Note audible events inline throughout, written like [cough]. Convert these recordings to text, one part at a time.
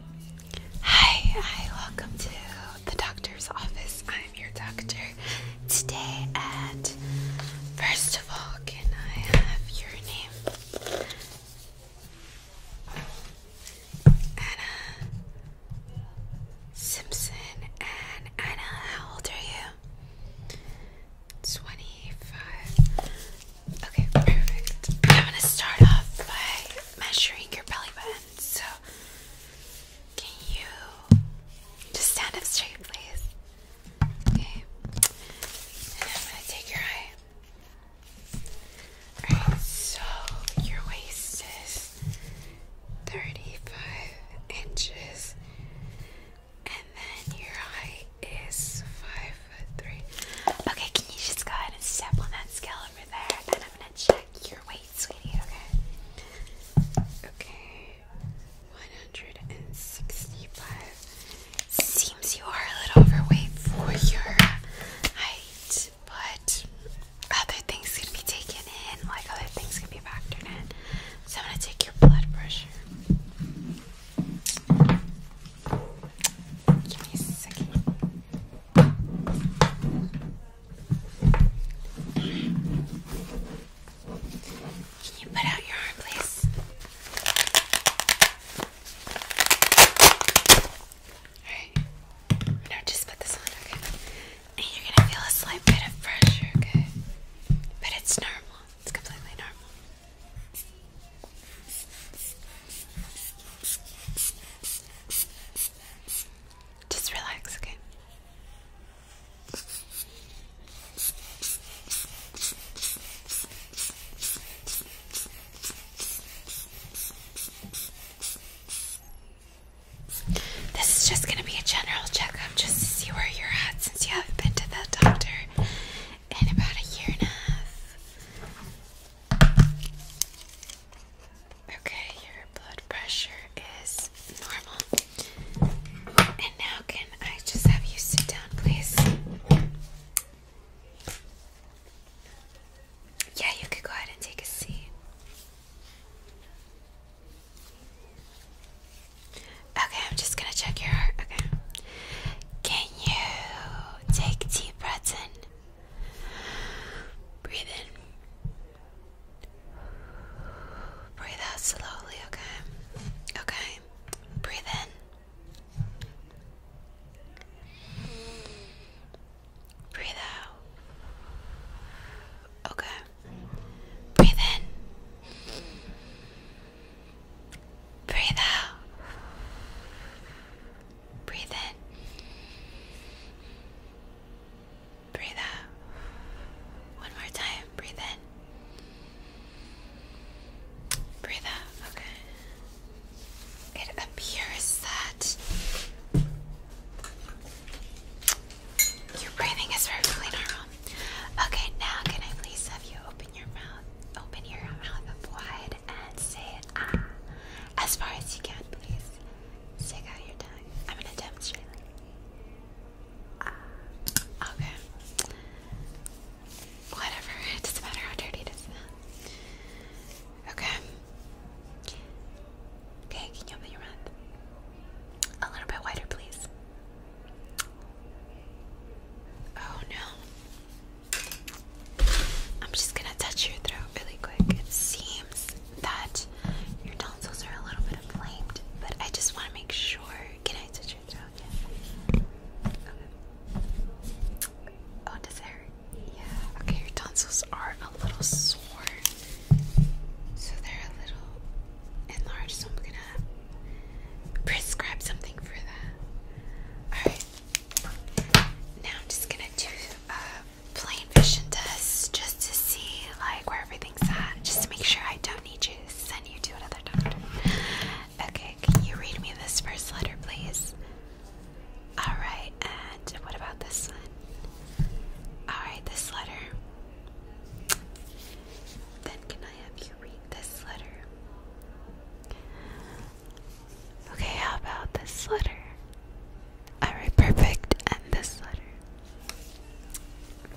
Hi, hi, welcome to the doctor's office. I'm your doctor today, and first of all, can I have your name? Anna Simpson. And Anna, how old are you? 25. Okay, perfect. I'm gonna start off by measuring your belly button. So, can you just stand up straight, please? Okay. And I'm gonna take your eye. Alright, so your waist is 35 inches, and then your height is 5 Okay, can you just go ahead and step on that scale over there? And I'm gonna check your weight, sweetie, okay? Okay. 165. Seems you are a little overweight for your height, but other things can be taken in, like other things can be factored in. So I'm gonna take your blood pressure. Give me a second. Can you put out your arm, please? Alright. Now just put this on, okay? And you're gonna feel a slight bit of pressure, okay? But it's normal. It's completely normal. Just relax, okay? This is just going to be a general checkup just to see where you're at since you haven't been to the doctor in about a year and a half. Okay, your blood pressure is normal. And now, can I just have you sit down, please? Yeah, you could go ahead and take a seat. Okay, I'm just gonna check your heart. Okay. Can you take deep breath in? Breathe in. Breathe out slowly, okay? Okay. Breathe in. Breathe out. Okay. Breathe in. Breathe out. Breathe in. Breathe out. One more time. Breathe in. Breathe out. Okay. It appears that your breathing is perfectly normal. Okay, now can I please have you open your mouth, open your mouth wide, and say it ah, as far as you can, please. Stick out ah, your tongue. I'm gonna demonstrate. Ah. Okay. Whatever. [laughs] It doesn't matter how dirty it is. Okay. Okay, can you open your mouth? A little bit wider, please. Oh no. I'm just gonna touch your throat really quick. It seems that your tonsils are a little bit inflamed, but I just want to make sure. Can I touch your throat? Yeah. Okay. Oh, does it hurt? Yeah. Okay, your tonsils are a little sore, so they're a little enlarged. So I'm gonna prescribe something for that. Alright. Now I'm just gonna do a plain vision test just to see like where everything's at. Just to make sure I don't need you to send you to another doctor. Okay, can you read me this first letter please? Alright, and what about this one? Alright, this letter. Then can I have you read this letter. Okay, how about this letter? Alright, perfect. And this letter.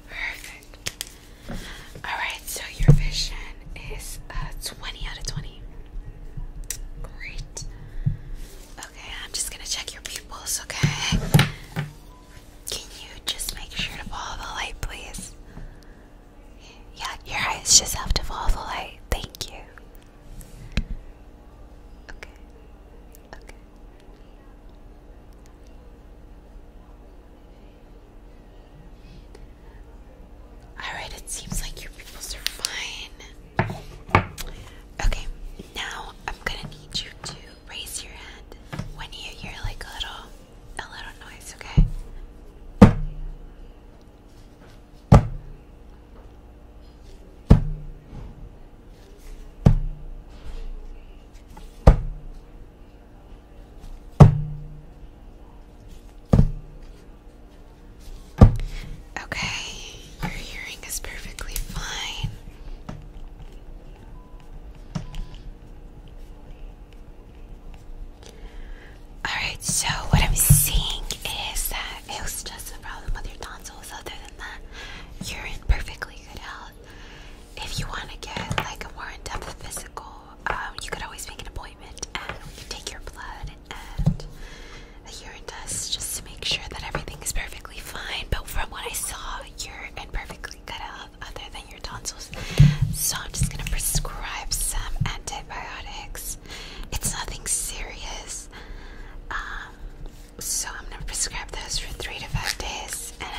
Perfect. Alright, so your vision is uh, 20 out of 20. Great. Okay, I'm just gonna check your pupils, okay? Can you just make sure to follow the light, please? Yeah, your eyes just have to follow the light. Thank you. Okay. Okay. Alright, it seems like your pupils are fine. Okay, now I'm gonna need you to raise your hand when you hear like a little a little noise, okay? Okay, your hearing is perfectly fine. Alright, so what I'm seeing is that it was just a problem with your tonsils. Other than that, you're in perfectly good health. If you want to get like a more in-depth physical, um, you could always make an appointment and we can take your blood and a urine test just to make sure that everything is perfectly fine. But from what I saw, you're in perfectly good health other than your tonsils. So I'm just gonna prescribe some antibiotics. It's nothing serious. Um, so I'm gonna prescribe those for three to five days and,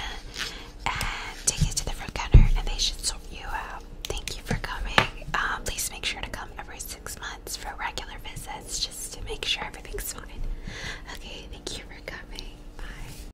take it to the front counter and they should sort you out. Thank you for coming. Um, please make sure to come every six months for regular visits just to make sure everything's fine. Okay, thank you for coming. Bye.